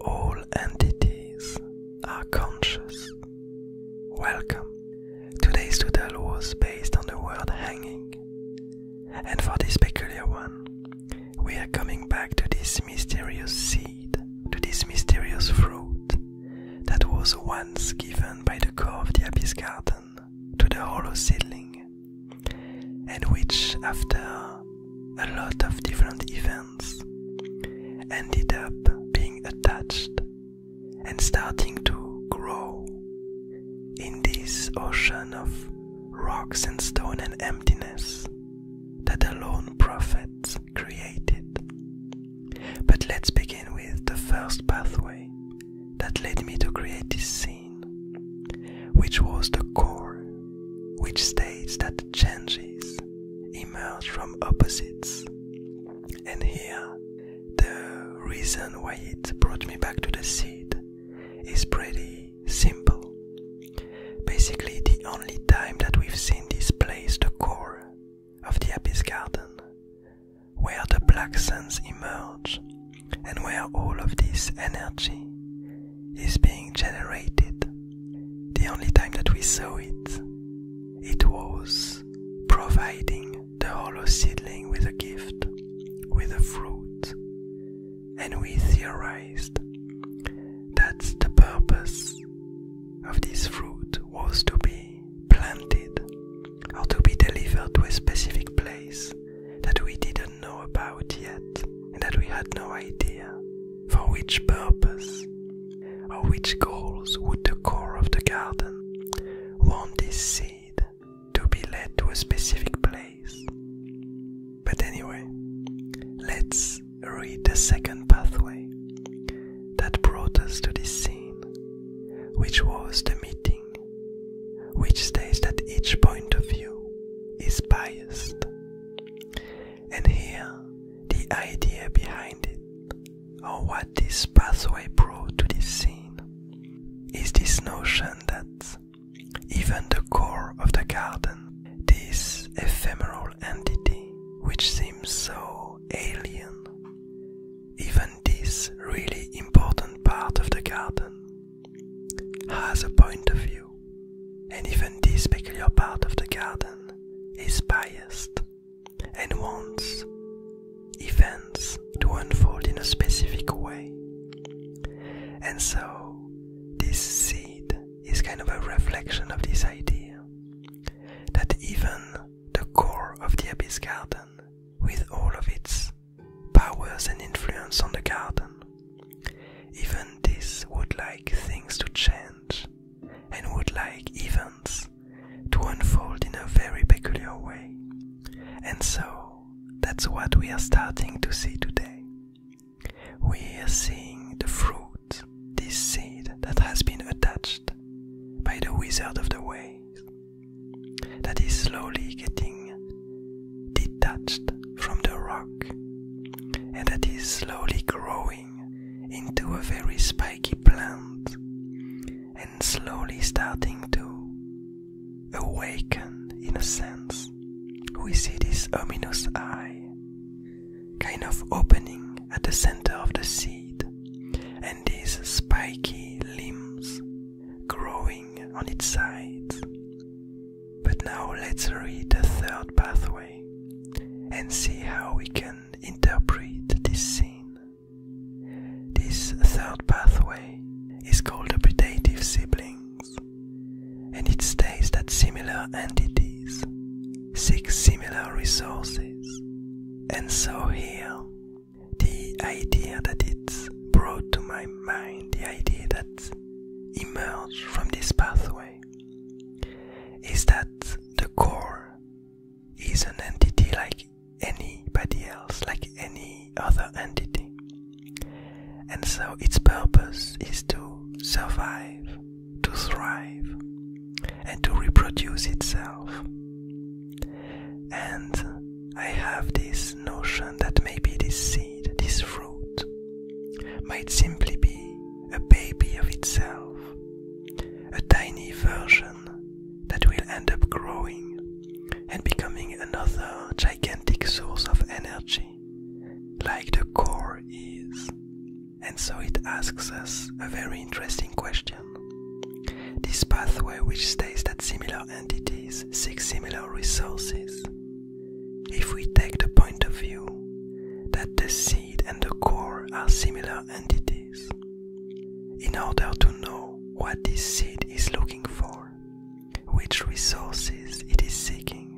All entities are conscious. Welcome. Today's tutorial was based on the word hanging. And for this peculiar one, we are coming back to this mysterious seed, to this mysterious fruit that was once given by the core of the abyss garden to the hollow ceiling, and which, after a lot of different events ended up being attached and starting to grow in this ocean of rocks and stone and emptiness that the lone prophet created. But let's begin with the first pathway that led me to create this scene, which was the core which states that changes emerge from opposites. And here, the reason why it brought me back to the seed is pretty simple. Basically, the only time that we've seen this place, the core of the Abyss Garden, where the black suns emerge and where all of this energy is being generated. The only time that we saw it, it was providing the hollow seedling with a gift, with a fruit, and we theorized that the purpose of this fruit was to be planted or to be delivered to a specific place that we didn't know about yet and that we had no idea for which purpose or which goals would the core of the garden want this seed to be led to a specific place? But anyway, let's read the second pathway that brought us to this scene, which was the meeting, which states that each point of view is biased and here the idea behind it, or what this pathway brought to this scene, is this notion that even the core of the garden, this ephemeral entity which seems so alien, even this really important part of the garden has a point of view. And even this peculiar part of the garden is biased and wants events to unfold in a specific way. And so, this seed is kind of a reflection of this idea that even the core of the Abyss Garden, with all of its powers and influence on the garden, even this would like things to change and would like events to unfold in a very peculiar way. And so that's what we are starting to see today. We are seeing the fruit, this seed that has been attached by the wizard of the ways, that is slowly getting detached from the rock and that is slowly growing into a very spiky plant and slowly starting to awaken in a sense. We see this ominous eye kind of opening at the center of the seed and these spiky limbs growing on its sides. But now let's read the third pathway and see how we can interpret this scene. This third pathway is called the predative siblings, and it states that similar entities seek similar resources. And so here, the idea that it's brought to my mind, the idea that emerges from this pathway is that the core is an entity like anybody else, like any other entity. And so its purpose is to survive, to thrive, and to reproduce itself. And I have this notion that maybe this this fruit, might simply be a baby of itself, a tiny version that will end up growing and becoming another gigantic source of energy, like the core is. And so it asks us a very interesting question. This pathway, which states that similar entities seek similar resources, if we take the point of view that the seed and the core are similar entities, in order to know what this seed is looking for, which resources it is seeking,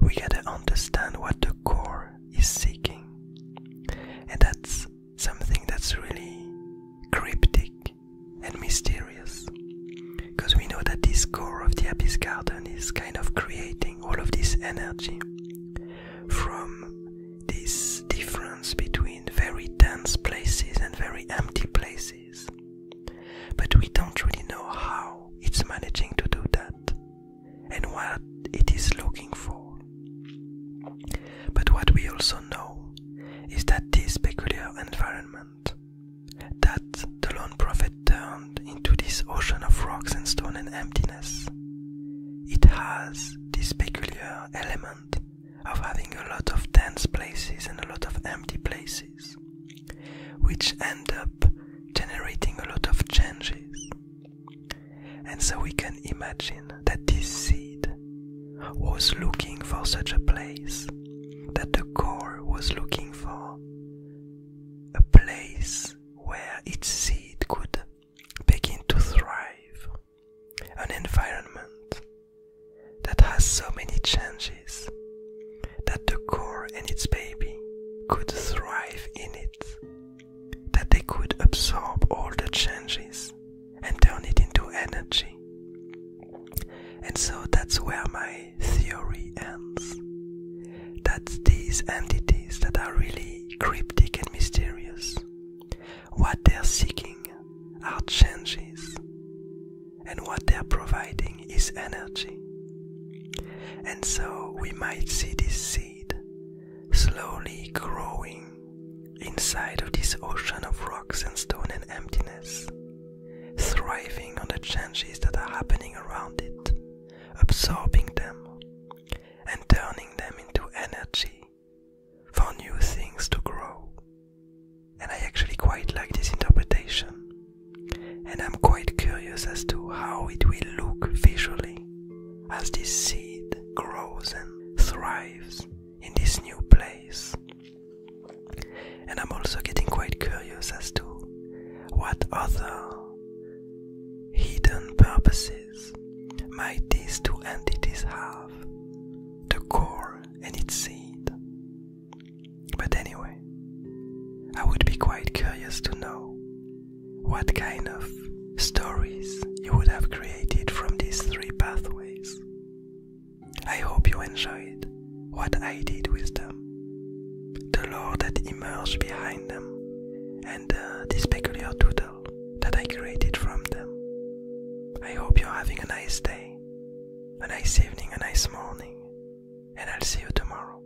we gotta understand what the core is seeking. And that's something that's really cryptic and mysterious because we know that this core of the abyss garden is kind of creating all of this energy from this difference between very dense places and very empty places. But we don't really know how it's managing to do that and what it is looking for. But what we also know is that this peculiar environment that the lone prophet turned into this ocean of rocks and stone and emptiness. It has this peculiar element of having a lot of dense places and a lot of empty places, which end up generating a lot of changes. And so we can imagine that this seed was looking for such a place, that the core was looking for a place where its seed could begin to thrive, an environment that has so many changes that the core and its baby could thrive in it, that they could absorb all the changes and turn it into energy. And so that's where my theory ends that these entities that are really cryptic and mysterious, what they're seeking are changes, and what they're providing is energy. And so we might see this seed slowly growing inside of this ocean of rocks and stone and emptiness thriving on the changes that are happening around it, absorbing them, and turning them into energy for new things to grow. And I actually quite like this interpretation, and I'm quite curious as to how it will look visually as this seed grows and thrives in this new place. And I'm also getting quite curious as to what other hidden purposes might these two entities have the core and its seed. But anyway, I would be quite curious to know what kind of stories you would have created from these three pathways. I hope you enjoyed what I did with them, the law that emerged behind them, and uh, this peculiar doodle that I created from them. I hope you're having a nice day, a nice evening, a nice morning, and I'll see you tomorrow.